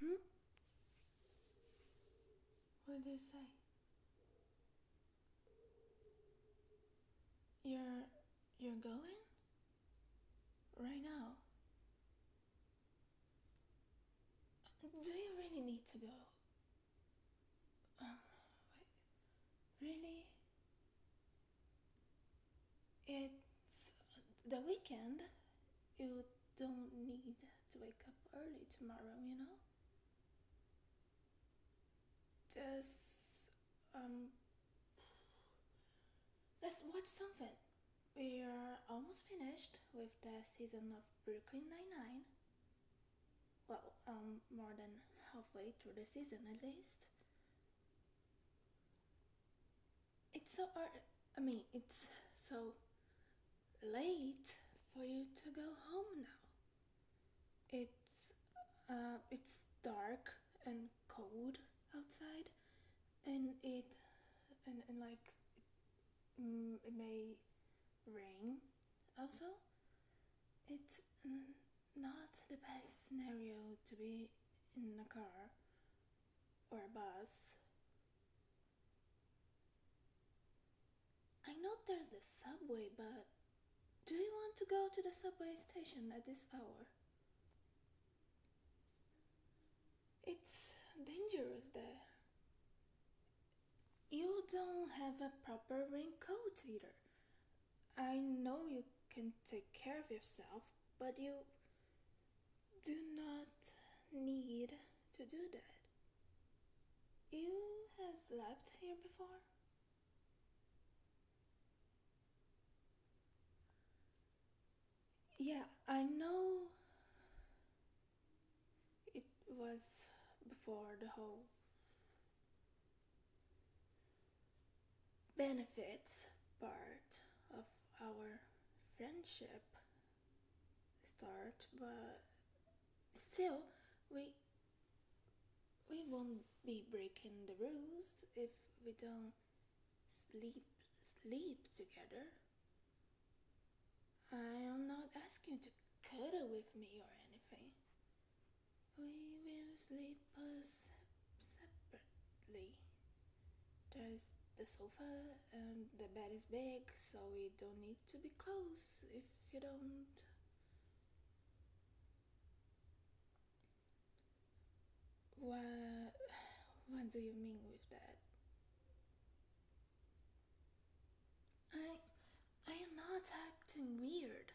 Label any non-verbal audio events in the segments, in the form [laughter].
Hmm? What did you say? You're you're going? Right now? Do you really need to go? Um, really? It the weekend, you don't need to wake up early tomorrow, you know? Just, um, let's watch something. We are almost finished with the season of Brooklyn Nine-Nine. Well, um, more than halfway through the season at least it's so I mean it's so late for you to go home now. It's uh, it's dark and cold outside, and it and, and like it, mm, it may rain also. It's not the best scenario to be in a car or a bus. I know there's the subway, but do you want to go to the subway station at this hour? It's dangerous there. You don't have a proper raincoat either. I know you can take care of yourself, but you do not need to do that. You have slept here before? Yeah, I know it was before the whole benefits part of our friendship start but still we we won't be breaking the rules if we don't sleep sleep together I am not asking to cuddle with me or anything we will sleep separately there's the sofa and um, the bed is big so we don't need to be close if you don't what [sighs] what do you mean with that i i am not acting weird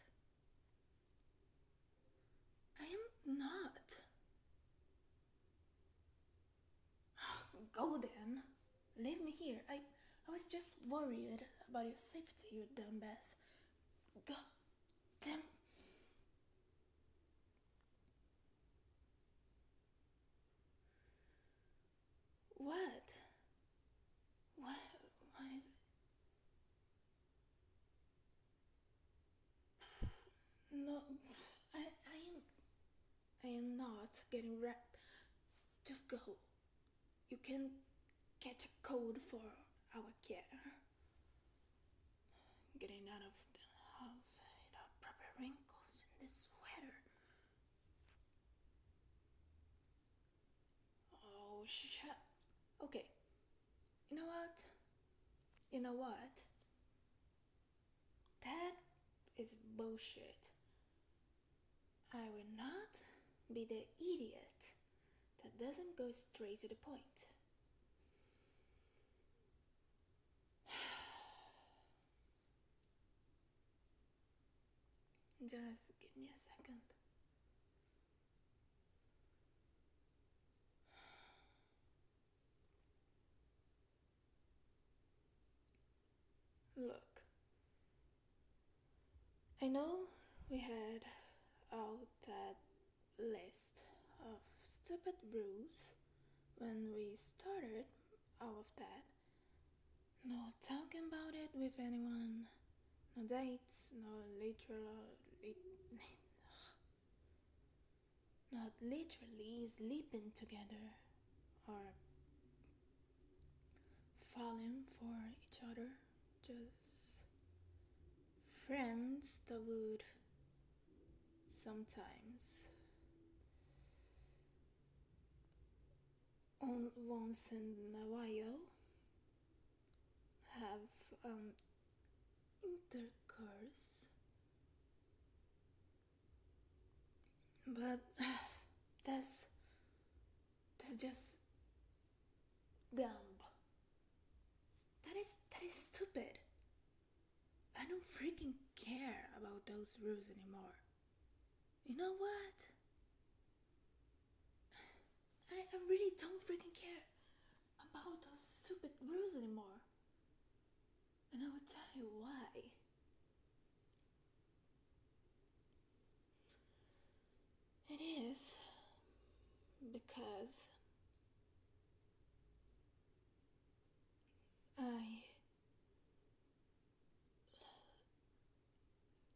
i am not [sighs] Go then. Leave me here. I, I was just worried about your safety, you dumbass. God damn. What? What? What is it? No, I, I am, I am not getting wrapped. Just go. You can get a code for our care. Getting out of the house, it are proper wrinkles in the sweater. Oh, shut. Okay. You know what? You know what? That is bullshit. I will not be the idiot that doesn't go straight to the point. [sighs] Just give me a second. [sighs] Look, I know we had out that list of stupid rules when we started all of that. No talking about it with anyone, no dates, no literal. [laughs] not literally sleeping together or falling for each other, just friends that would sometimes on once in a while have um, intercourse but [sighs] that's that's just dumb. That is that is stupid. I don't freaking care about those rules anymore. You know what? [sighs] I, I really don't freaking care about those stupid rules anymore. And I will tell you why. It is because I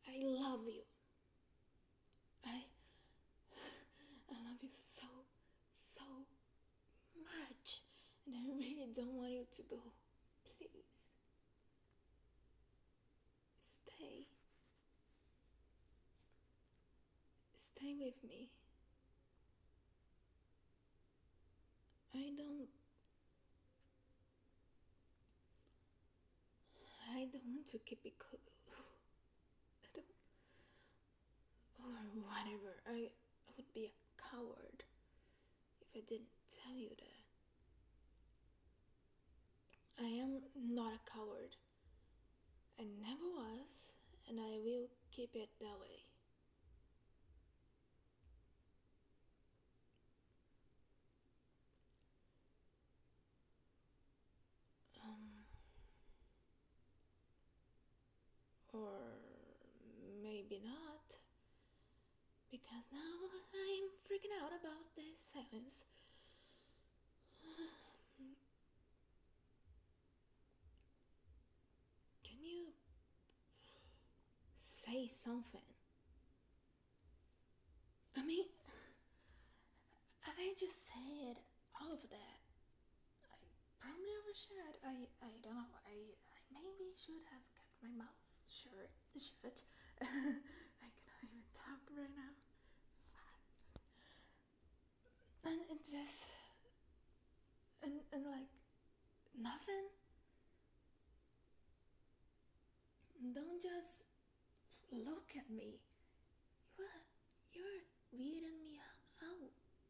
I love you. I I love you so so much, and I really don't want you to go. Please stay. Stay with me. I don't. I don't want to keep it close. [laughs] or whatever. I would be a coward if I didn't tell you that. I am not a coward. I never was, and I will keep it that way. Um, or maybe not. Because now I'm freaking out about this silence. Can you say something? I mean, I just said all of that. I probably overshared. I I don't know. I, I maybe should have kept my mouth shut. Shut. [laughs] I cannot even talk right now. And it just and and like nothing. Don't just look at me. You are you're weirding me out.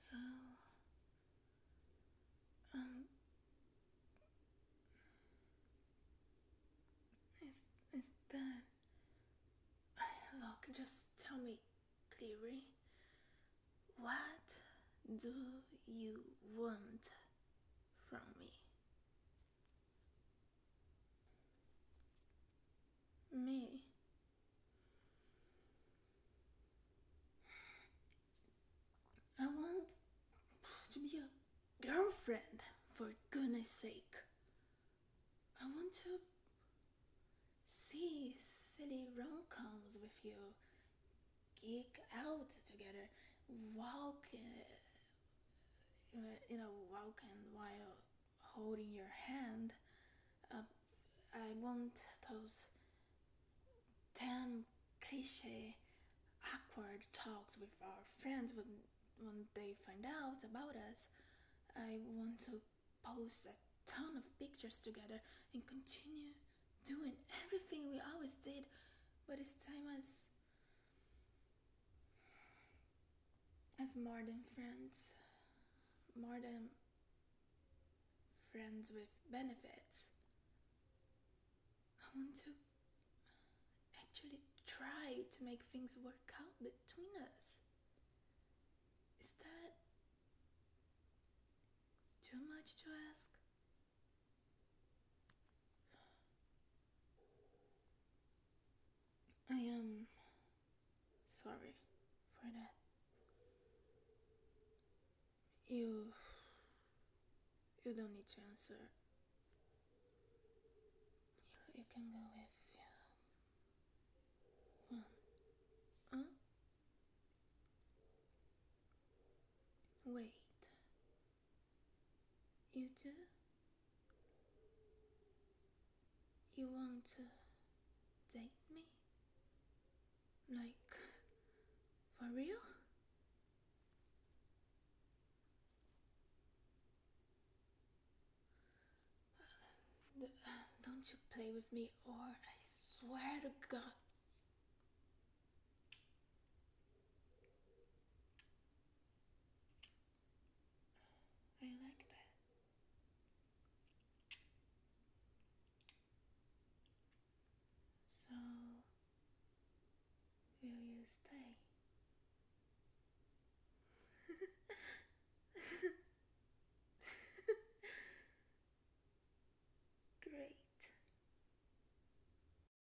So, um, is, is that. Look, just tell me, Cleary, what do you want from me? Me. I want to be your girlfriend, for goodness sake. I want to see silly romcoms with you, geek out together, walk uh, in uh, a walk and while holding your hand, uh, I want those damn cliche awkward talks with our friends when, when they find out about us. I want to post a ton of pictures together and continue doing everything we always did, but this time as as more than friends, more than friends with benefits. I want to actually try to make things work out between us. Is that too much to ask? I am sorry for that. You. You don't need to answer. You, you can go if you want. Huh? Wait. You do? You want to date me? Like, for real? Uh, don't you play with me, or I swear to God. I like that. So, will you stay? [laughs] Great.